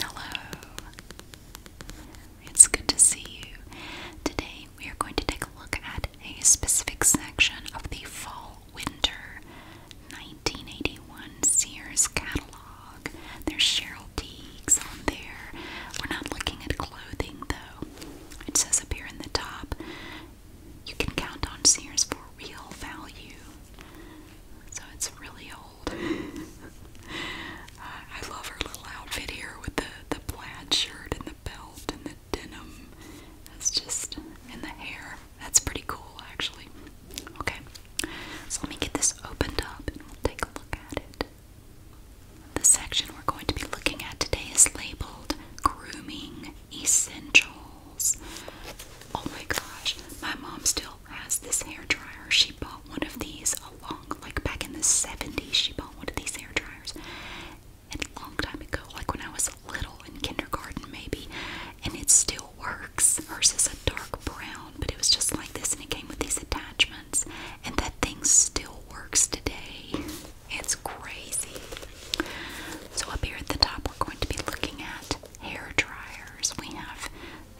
Hello. It's good to see you. Today we are going to take a look at a specific section of the Fall Winter 1981 Sears catalog. There's Cheryl Teagues on there. We're not looking at clothing though. It says up here in the top, you can count on Sears for real value. So it's really I love her little outfit here with the the plaid shirt and the belt and the denim. That's just in the hair. That's pretty cool, actually. Okay, so let me get this opened up and we'll take a look at it. The section we're going to be looking at today is labeled Grooming Essentials. Oh my gosh, my mom still has this hair dryer. She bought one of these a long, like back in the 70s, she bought one of these hair dryers. And a long time ago, like when I was little in kindergarten maybe, and it still works. Hers is a dark brown, but it was just like this, and it came with these attachments. And that thing still works today. It's crazy. So up here at the top, we're going to be looking at hair dryers. We have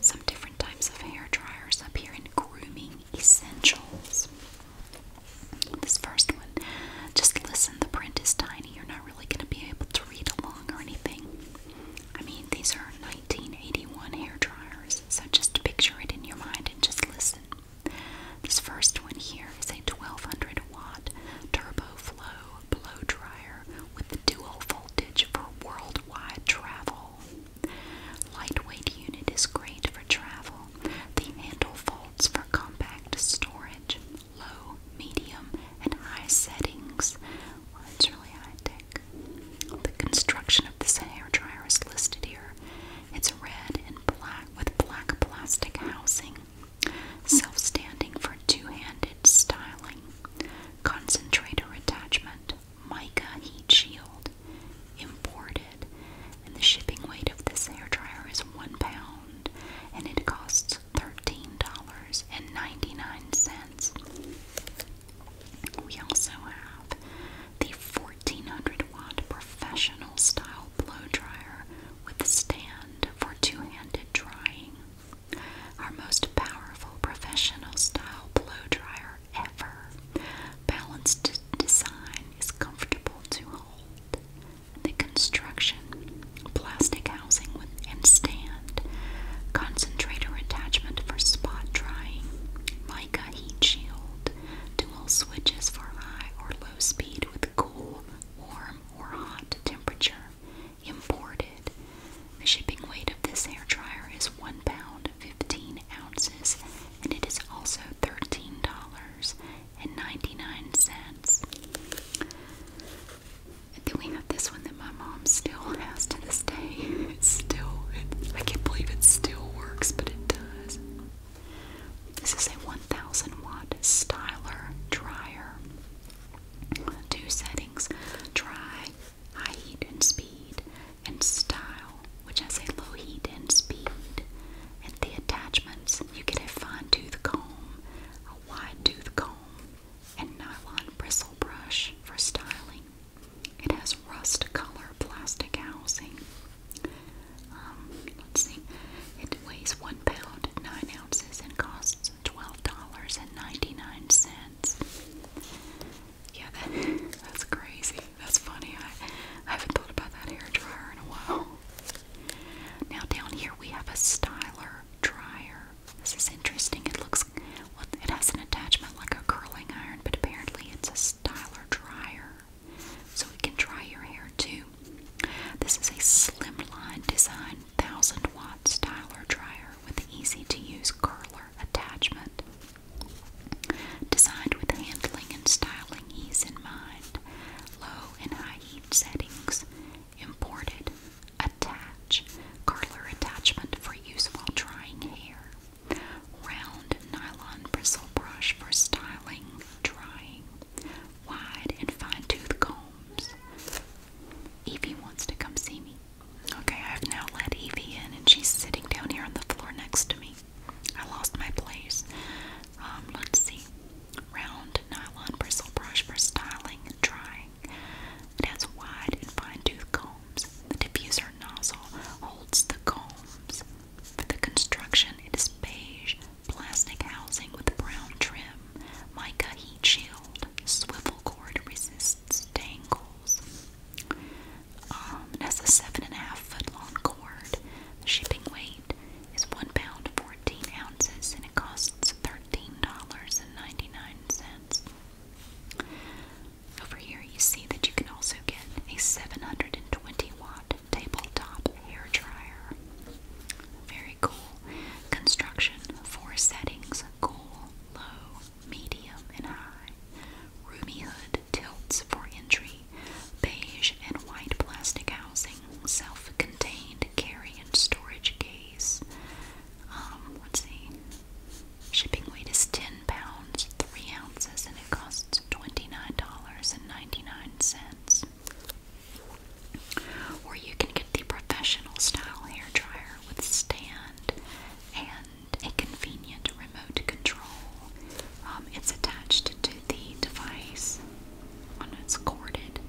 some different types of hair dryers up here in grooming essentials. This first one, just listen, the print is tiny. You're not really going to be able to read along or anything. I mean, these are 1981 hair dryers, so just picture it in your mind and just listen. This first one here is a 1200 watt turbo flow blow dryer with dual voltage for worldwide travel. Lightweight unit is great for travel. The handle folds for compact storage. Low, medium, and high settings. it's really high tech. The construction of this hairdryer is listed here. It's red and black with black plastic housing. Self-standing for two-handed styling concentrator attachment, mica heat shield, imported, and the shipping weight of this hair dryer is one pound, and it costs thirteen dollars and ninety nine cents. We also have the fourteen hundred watt professional style blow dryer with a stand for two handed drying. Our most powerful professional style blow dryer ever. Balanced design is comfortable to hold. The construction, plastic housing and stand, concentrator attachment for spot drying, mica heat shield, dual switches for high or low speed with cool, warm, or hot temperature, imported. The shipping weight of this hair dryer is one pound fifteen ounces, and it is also thirteen dollars and ninety nine cents. then we have this one that my mom still has to this day. It's still, I can't believe it still works, but it does. This is a 1000 watt styler dryer. Two settings dry high heat and speed, and style, which has a low heat and speed. And the attachments, you get a fine tooth comb, a wide tooth comb, and nylon bristle brush for styling. It has rust color plastic housing. Um, let's see. It weighs one pound nine ounces and costs twelve dollars and ninety nine cents. Yeah, that, that's crazy. That's funny. I, I haven't thought about that hair dryer in a while. Now down here we have a styler dryer. This is interesting. It looks well, it has an attachment like a curling iron, but apparently it's a styler dryer. So it can dry your hair too. This is a slimline design 1000 watt styler dryer with an easy to use curler attachment. Designed with handling and styling ease in mind, low and high heat settings, imported, attach, curler attachment for use while drying hair, round nylon bristle brush for styling, drying, wide and fine tooth combs. Evie wants to come see me. Okay, I've now let Evie in, and she's sitting down here on the floor next to me. I lost my place. Um, let's see. Round nylon bristle brush for styling and drying. It has wide and fine tooth combs. The diffuser nozzle holds the combs. For the construction, it is beige plastic housing with brown trim, mica heat shield, Swivel cord resists tangles. Um, a seven and a half foot long cord. The shipping weight is one pound fourteen ounces, and it costs thirteen dollars and ninety nine cents. Over here, you see that you can also get a seven hundred and twenty watt tabletop hair dryer. Very cool construction. Four settings: cool, low, medium and high. Roomy hood tilts for entry. Beige and white plastic housing. Self-contained carry and storage case. Um, let Shipping weight is 10 pounds, 3 ounces, and it costs $29.99. Or you can get the professional style hair dryer with stand and a convenient remote control. Um, it's attached to the device on its corded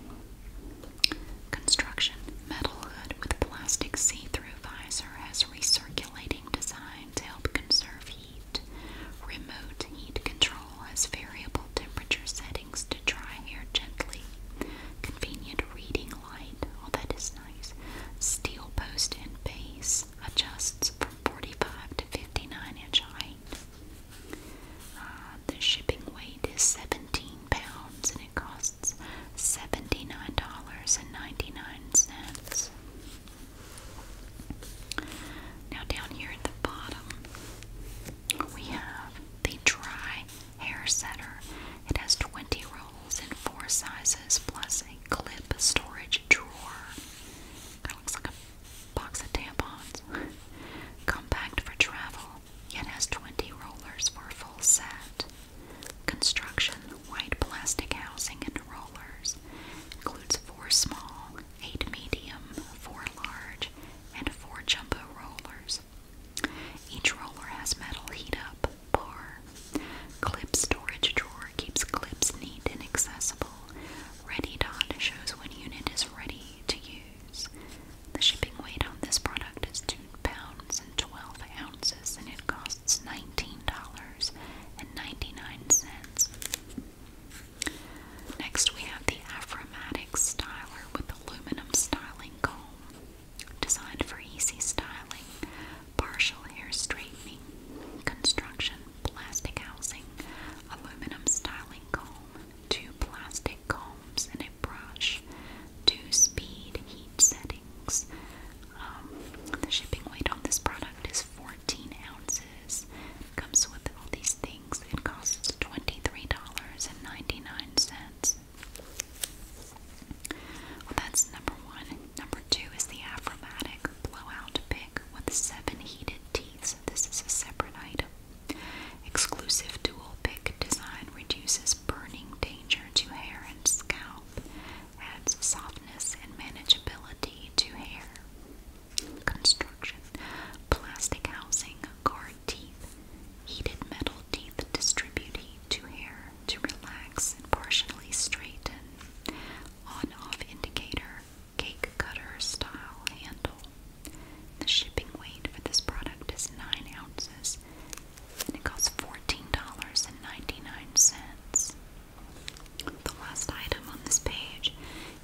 construction. Metal hood with plastic see-through visor has recirculating design to help conserve heat. Remote heat control has variable temperature settings to dry hair gently. Convenient reading light, all that is nice. Steel post and base adjusts from 45 to 59 inch height. Uh, the shipping weight is 17 pounds and it costs $79.99. Now, down here at the bottom, we have the dry hair setter. It has 20 rolls in four sizes plus a clip storage drawer. Kind of looks like a box of tampons. Compact for travel, yet has 20 rollers for a full set. Construction, white plastic housing and rollers. Includes four small, eight medium, four large, and four jumbo rollers. Each roller has metal heat up Clip storage drawer keeps clips neat and accessible. Ready dot shows when unit is ready to use. The shipping weight on this product is two pounds and twelve ounces, and it costs nineteen dollars and ninety-nine cents. Next, we have the Afromatic Styler with aluminum styling comb designed for easy styling, partial hair straightening, construction, plastic housing, aluminum styling comb, two plastic combs and a brush, two speed heat settings. Um, the shipping weight on this product is 14 ounces. It comes with all these things. It costs $23.99 that's number one. Number two is the Afromatic Blowout Pick with seven heated teeth. This is a separate item. Exclusive dual pick design reduces burning danger to hair and scalp, adds softness and manageability to hair. Construction Plastic housing, guard teeth, heated metal teeth distribute heat to hair, to relax and partially straighten on-off indicator cake cutter style handle. The shipping weight for this product is 9 ounces and it costs $14.99. The last item on this page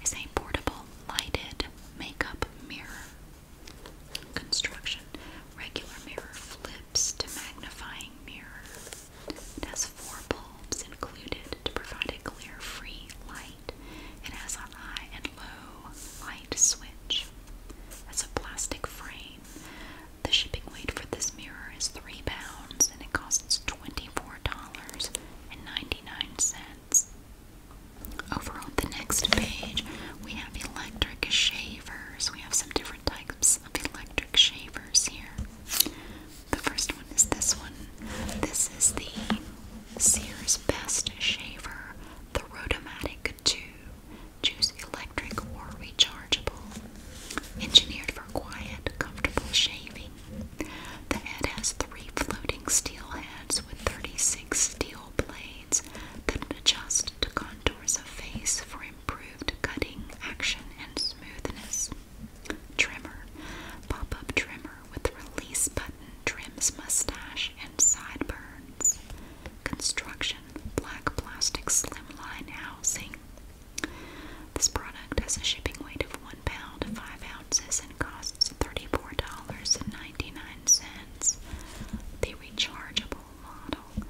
is a portable lighted makeup mirror. Construction Regular mirror flips to magnifying mirror. It has four bulbs included to provide a clear, free light. It has a high and low light switch. It's a plastic frame. The shipping weight for this mirror is three pounds, and it costs twenty-four dollars and ninety-nine cents. Over on the next page, we have electric shavers. We have some different types of electric shavers here. The first one is this one. This is the Sears Best Shaver, the Rotomatic 2. Choose electric or rechargeable. Engineered for quiet, comfortable shaving. The head has three floating steel heads with 36 steel blades that adjust to contours of face for improved cutting action and smoothness. Trimmer. Pop up trimmer with release button trims mustache and sideburns. Construction. Black plastic slimline housing. This product has a shipping weight of 1 pound 5 ounces and costs $34.99. The rechargeable model.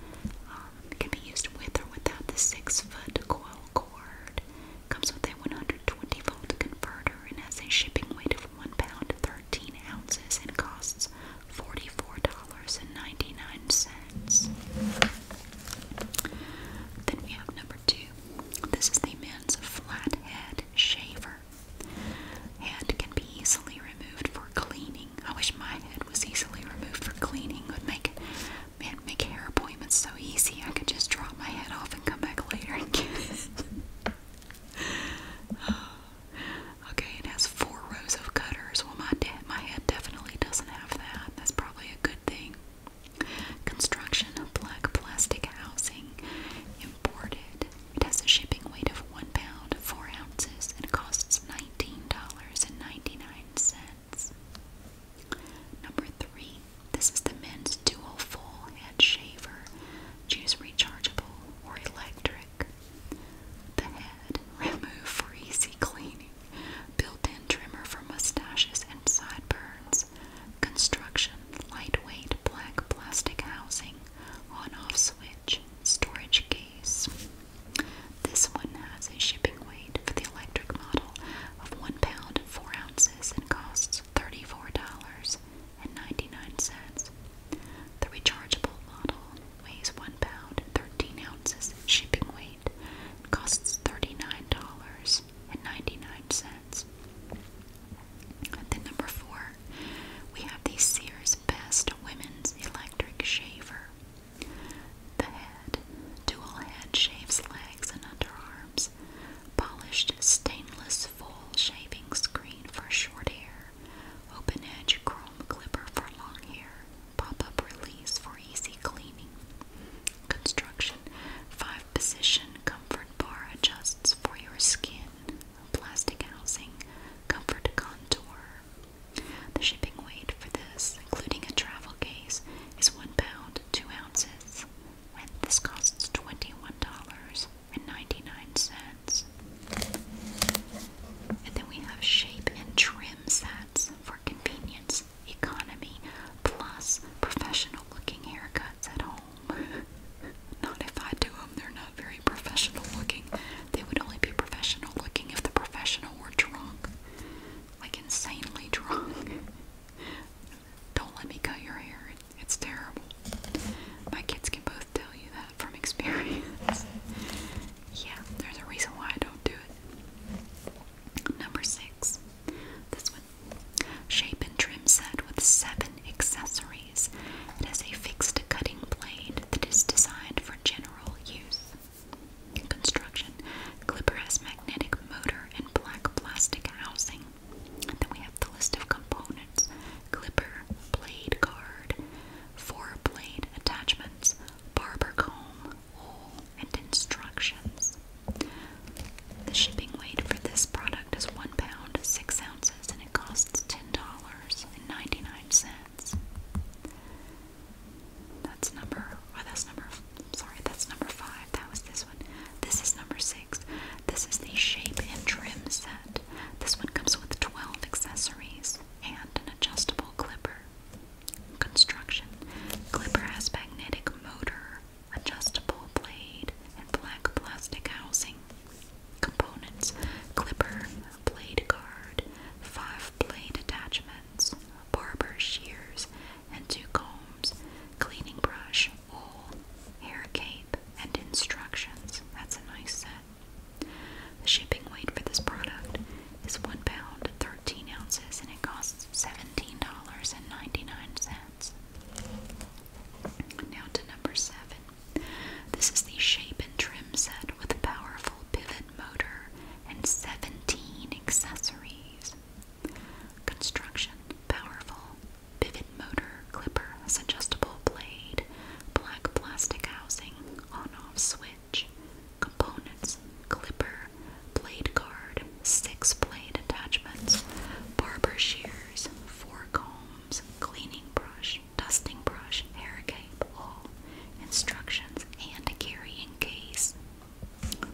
Um, can be used with or without the six-foot coil cord. Comes with a 120-volt converter and has a shipping weight of one pound thirteen ounces and costs forty-four dollars and ninety-nine cents. Then we have number two. This is the man's flat head shaver. Head can be easily removed for cleaning. I wish my head was easily removed for cleaning. would make Man, make hair appointments so easy. I could just drop my head off and come back later and get it. okay, it has four rows of cutters. Well, my, my head definitely doesn't have that. That's probably a good thing. Construction of black plastic housing imported. It has a shipping weight of one pound, four ounces, and it costs $19.99. Number three, this is the men's dual full head shaver. Choose rechargeable or electric. The head, remove for easy cleaning. Built-in trimmer for mustaches and sideburns. Construction, lightweight black plastic housing. On-off switch, storage case. This one has a shipping weight for the electric model of one pound four ounces and costs $34.99. The rechargeable model weighs one pound 13 ounces shipping weight and costs $39.99. And number four, we have the Sears Best Women's Electric Shaver. The head, dual head shaves legs and underarms, polished stainless full shaving screen for short hair, open edge chrome clipper for long hair, pop up release for easy cleaning. Construction, five position comfort bar adjusts for your skin, plastic housing, comfort contour. The shipping weight for this, including a travel case, is one pound two ounces, and this costs twenty-one dollars and ninety-nine cents. And then we have shape and trim sets for convenience, economy, plus professional-looking haircuts at home. not if I do them; they're not very professional-looking. They would only be professional-looking if the professional were drunk like insanely drunk. Don't let me cut your hair. It's terrible. My kids can both tell you that from experience. yeah, there's a reason why I don't do it. Number six. This one. Shape and trim set with seven accessories. It has a fixed cutting blade that is designed for general use construction. Clipper has magnetic motor and black plastic housing. then we have the list of components. Clipper, blade guard, four blade attachments, barber comb, hole, and instructions. The shipping weight for this product is one pound, six ounces, and it costs ten dollars and ninety-nine cents. That's number, oh, that's number, sorry, that's number five. That was this one. This is number six. This is the shape and trim set. This one comes with 12 accessories and an adjustable clipper. Construction Clipper has magnetic motor, adjustable blade, and black plastic housing. Components Clipper, blade guard, five blade attachment barber shears, and two combs, cleaning brush, oil, hair cape, and instructions. That's a nice set. The shipping weight for this product is one pound thirteen ounces, and it costs seventeen dollars and ninety-nine cents. Now to number seven. This is the shape and trim set with a powerful pivot motor and 17 accessories. Construction powerful. Pivot motor, clipper, adjustable blade, black plastic housing, on off switch, components, clipper, blade guard, six blade attachments, barber shears, four combs, cleaning brush, dusting brush, hair cape, all instructions, and carrying case,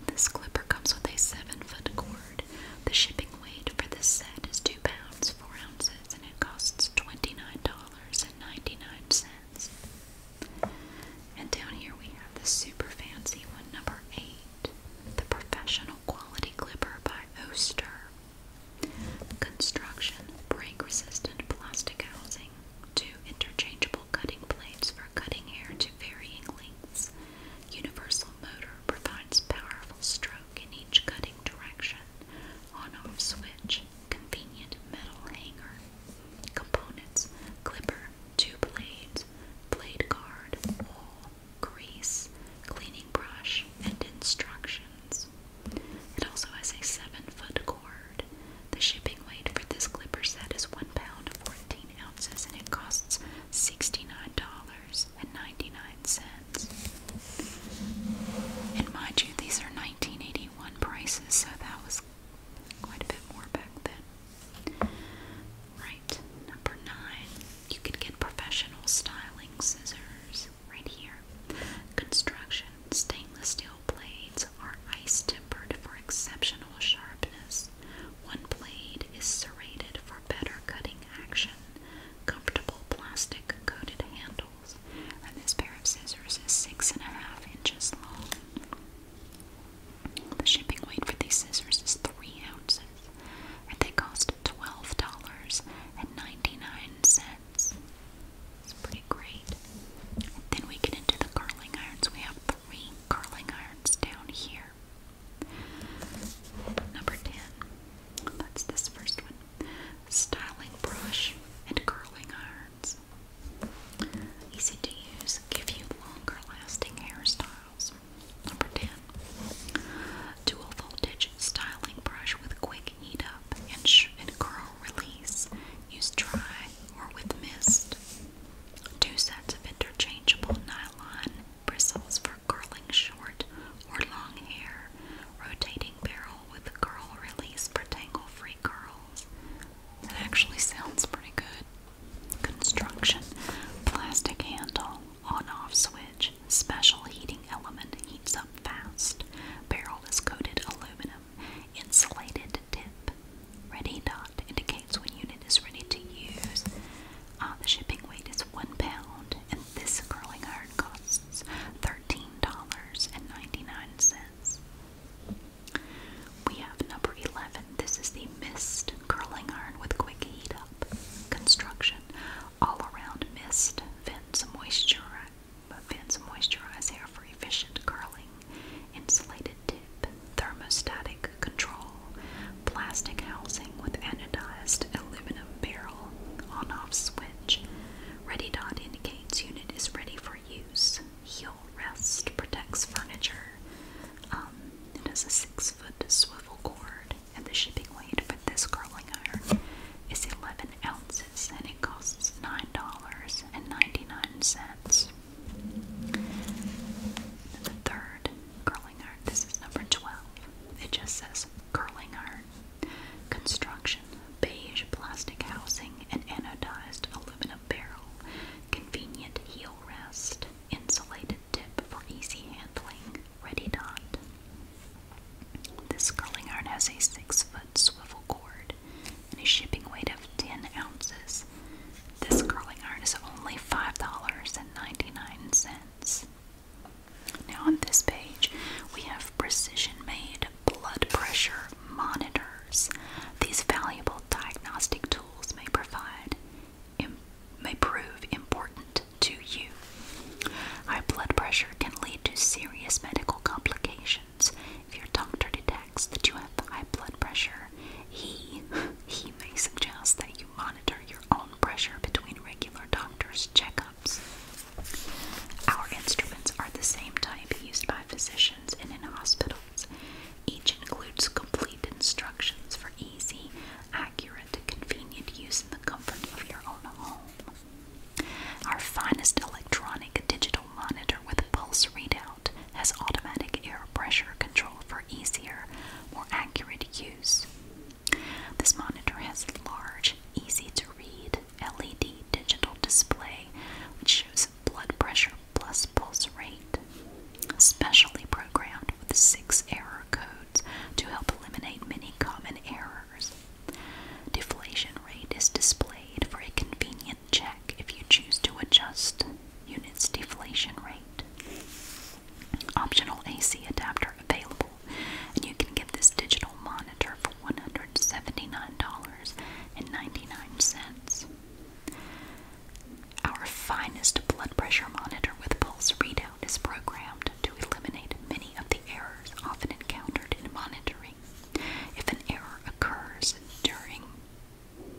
this clipper comes with a 7 foot cord. The shipping weight for this set is 2 pounds 4 ounces and it costs $29.99. And down here we have the super fancy one, number 8, the professional quality clipper by Oster. Construction break resistant plastic housing, two interchangeable cutting plates for cutting hair varying lengths. Universal motor provides powerful stroke in each cutting direction, on-off switch, convenient metal hanger. Components, clipper, two blades, blade guard, oil, grease, cleaning brush, and instructions. It also has a 7-foot cord. The shipping weight for this clipper set is 1 pound ounces and it costs $69.99. And mind you, these are 1981 prices, so that was quite a bit more back then. Right, number nine. You can get professional styling scissors right here. Construction stainless steel blades are ice tempered for exceptional sharpness. One blade is serrated for better cutting action, comfortable plastic coated handles, and this pair of scissors is six and a half inches long. The shipping weight for these scissors is three ounces, and they cost twelve dollars and ninety-nine cents. It's pretty great. then we get into the curling irons. We have three curling irons down here. Number 10, that's this first one styling brush and curling irons. Easy to use, give you longer lasting hairstyles. Number 10, dual voltage styling brush with quick heat up and, and curl release. Use dry or with mist. Two sets of interchangeable nylon bristles for curling short or long hair, rotating barrel with curl release for tangle free curls. That actually sounds pretty good. Construction plastic handle, on off switch, special heating element heats up fast. Barrel is coated aluminum, insulated tip. Ready dot indicates when unit is ready to use. Uh, the shipping weight is one pound, and this curling iron costs thirteen dollars and ninety nine cents. We have number eleven. This is the mist curling iron with quick heat up construction. All around mist vents moisture, vents moisturize hair for efficient curling insulated tip, thermostatic control, plastic housing with anodized aluminum barrel, on-off switch. Ready dot indicates unit is ready for use. Heel rest protects furniture. Um, it has a six-foot swivel cord, and the shipping weight for this curling iron is 11 ounces, and it costs $9.99 the third curling iron, this is number 12. It just says curling iron. Construction beige plastic housing and anodized aluminum barrel. Convenient heel rest. Insulated tip for easy handling. Ready dot. This curling iron has a six foot swivel cord and a shipping weight of 10 ounces. This curling iron is only $5.99. Now, on this page, we have precision made blood pressure monitors. These valuable diagnostic tools may provide, may prove important to you. High blood pressure can lead to serious medical complications. If your doctor detects that you have high blood pressure, he he may suggest that monitor your own pressure between regular doctor's checkups. Our instruments are the same type used by physicians and in hospitals. Each includes complete instructions for easy, accurate, convenient use in the comfort of your own home. Our finest electronic digital monitor with a pulse readout has automatic air pressure control for easier, more accurate use. This monitor has a large, easy to read LED digital display which shows blood pressure plus pulse rate, specially programmed with six error codes to help eliminate many common errors. Deflation rate is displayed for a convenient check if you choose to adjust units deflation rate. Optional AC adapter available, and you can get this digital monitor for $179.99. Our finest blood pressure monitor with pulse readout is programmed to eliminate many of the errors often encountered in monitoring. If an error occurs during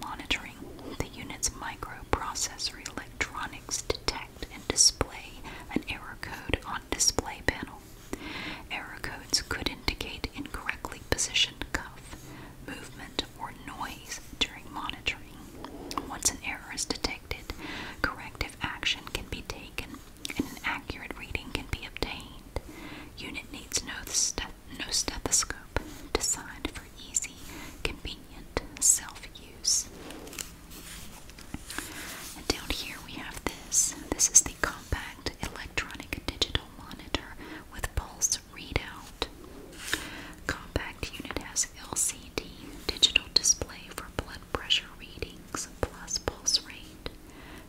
monitoring, the unit's microprocessor electronics detect and display an error code on display panel. Error codes could indicate incorrectly positioned cuff, movement, or noise during monitoring. Once an error is detected, corrective action can be taken and an accurate reading can be obtained. Unit needs no, stethoscope designed for easy, convenient self-use. down here we have this. This is the compact electronic digital monitor with pulse readout. Compact unit has LCD digital display for blood pressure readings plus pulse rate.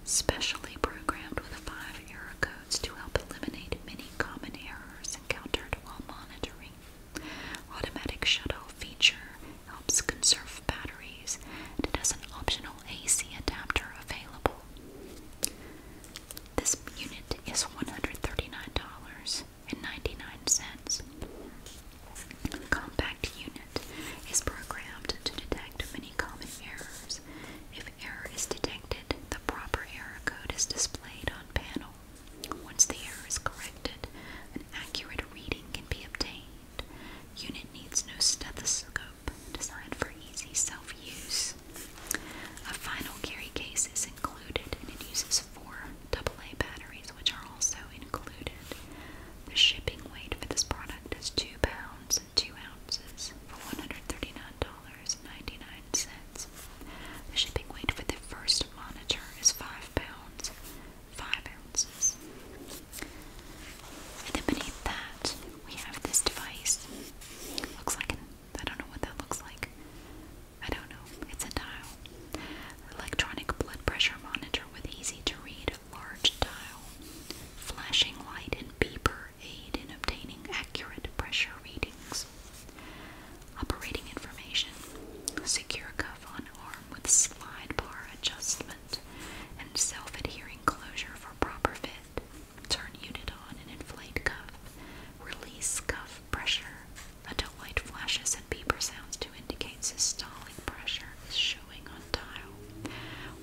Specially programmed with five error codes to help eliminate many common errors encountered while monitoring battery. Automatic shuttle feature helps conserve batteries it has an optional AC adapter available. This unit is $139.99. The compact unit is programmed to detect many common errors. If error is detected, the proper error code is displayed on panel once the error is corrected, an accurate reading can be obtained. Unit needs no stethoscope, designed for easy self-use. A final carry case is included, and it uses four AA batteries, which are also included. The shipping weight for this product is two pounds and two ounces for $139.99. The shipping weight for the first monitor is 5 pounds, 5 ounces. And then beneath that, we have this device. Looks like an, I don't know what that looks like. I don't know. It's a dial. Electronic blood pressure monitor with easy to read large dial. Flashing light and beeper aid in obtaining accurate pressure readings. Operating information. Secure cuff on arm with slide bar adjustment and self-adhering closure for proper fit. Turn unit on and inflate cuff. Release cuff pressure. until light flashes and beeper sounds to indicate systolic pressure is showing on dial.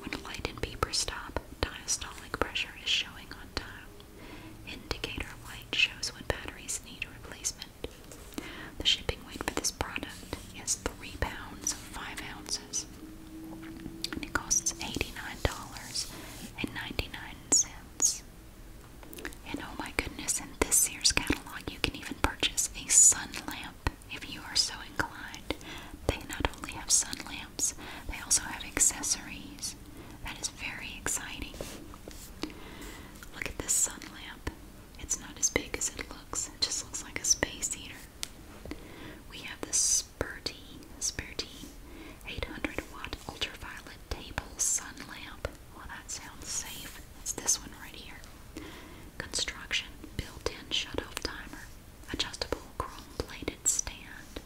When light and beeper stop, diastolic pressure is showing on dial. Indicator light shows when batteries need replacement the shipping weight for this product is three pounds five ounces, and it costs eighty-nine dollars and ninety-nine cents. And oh my goodness, in this Sears catalog, you can even purchase a sun lamp if you are so inclined. They not only have sun lamps, they also have accessories. That is very exciting. Look at this sun lamp. It's not as big as it looks. It just looks like a space heater. We have the Spurty, Spurty 800 watt ultraviolet table sun lamp. Well, that sounds safe. It's this one right here. Construction, built-in shut-off timer, adjustable chrome-plated stand,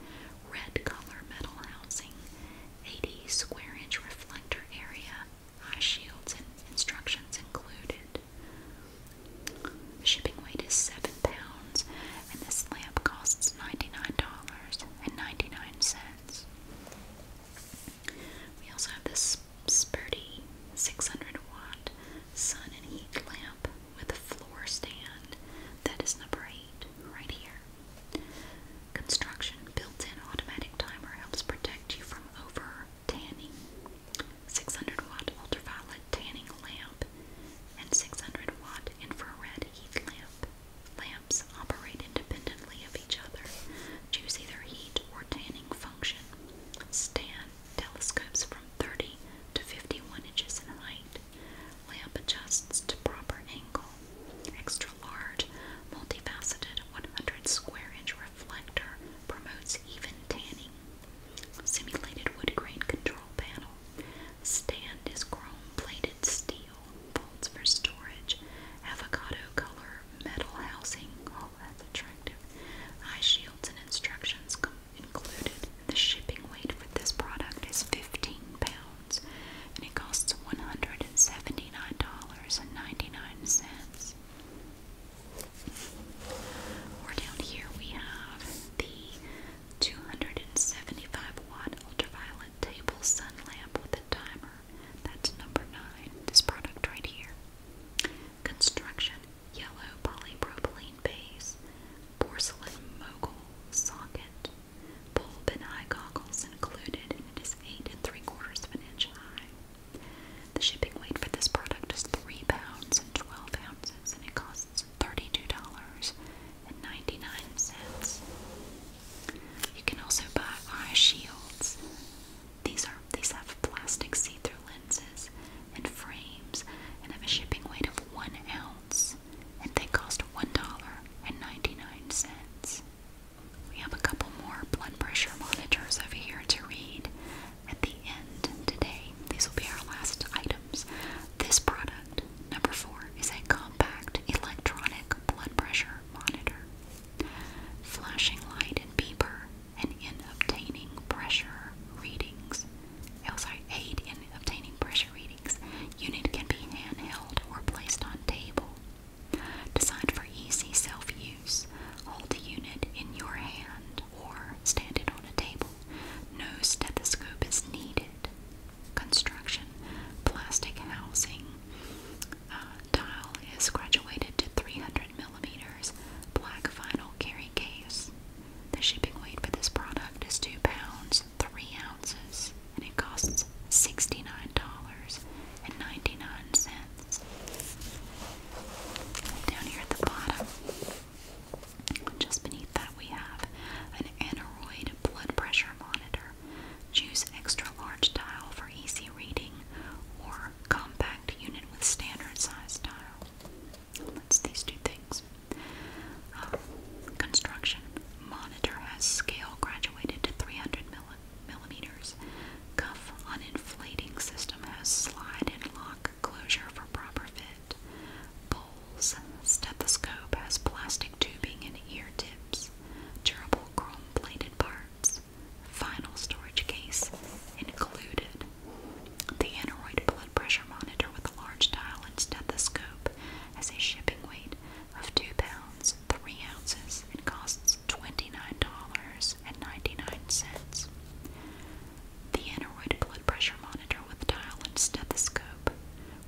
red color metal housing, 80 square inch reflector area, High uh, shields and instructions included. shipping weight is 7 pounds, and this lamp costs $99.99. We also have this spurty 600 watt sun and heat lamp with a floor stand that is number 8 right here. Construction built-in automatic timer helps protect you from over tanning. 600 watt ultraviolet tanning lamp and 600 watt infrared heat lamp. Lamps operate independently of each other. Choose either heat or tanning function. Stand telescopes from 30 to 51 inches in height. Lamp adjusts to proper angle. Extra large, multifaceted 100 square inch reflector promotes even tanning. Simulated wood grain control panel. Stand is chrome plated steel. Bolts for storage. Avocado color metal housing. All oh, that's attractive. Eye shields and instructions included. The shipping weight for this product is 15 pounds and it costs $179.99. Or down here we have the 275 watt ultraviolet table sun lamp with a timer. That's number 9, this product right here. Construction yellow polypropylene base, porcelain mogul socket, bulb and eye goggles included, and it is 8 and 3 quarters of an inch high. The shipping weight for this product is 3 pounds and 12 ounces, and it costs $32.99. You can also buy eye shields. These are these have plastic see-through lenses and frames and have a shipping weight of one ounce and they cost one dollar and ninety-nine cents. We have a couple more blood pressure monitors over here to read at the end today. These will be our last items. This product, number four, is a compact electronic blood pressure monitor. Flashing light and beeper, and in obtaining pressure readings. Oh, sorry, aid in obtaining pressure readings. Unit can be handheld or placed on table. Designed for easy self-use, hold the unit in your hand or stand it on a table. No stethoscope is needed. Construction, plastic housing. dial uh, is graduated to 300 millimeters. Black vinyl carrying case. The shipping weight for this product is two pounds three ounces, and it costs sixty nine dollars and ninety nine cents. Down here at the bottom, just beneath that, we have an aneroid blood pressure monitor. Choose extra large dial for easy reading or compact unit with standard size dial. That's these two things. Um, construction monitor has scale graduated to 300 millimeters millimeters. Cuff on system has slide and lock closure for proper fit. Bowls stethoscope has plastic tubing and ear tips. Durable chrome plated parts. Final storage case included. The aneroid blood pressure monitor with a large dial and stethoscope has a shipping weight of 2 pounds three ounces and costs $29.99. The aneroid blood pressure monitor with dial and stethoscope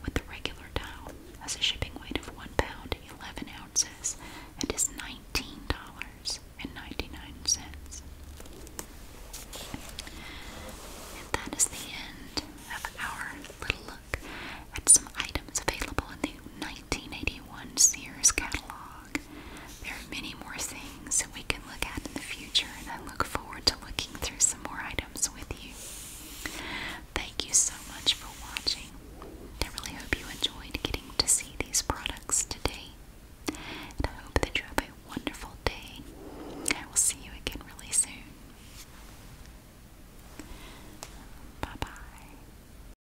with the regular dial has a shipping weight of 1 pound 11 ounces and is $19.99. And that is the end of our little look at some items available in the 1981 Sears catalog. There are many more things that we can look at in the future, and I look forward to looking through some more items with you. Thank you so much for watching. I really hope you enjoyed getting to see these products today, and I hope that you have a wonderful day. I will see you again really soon. Bye bye.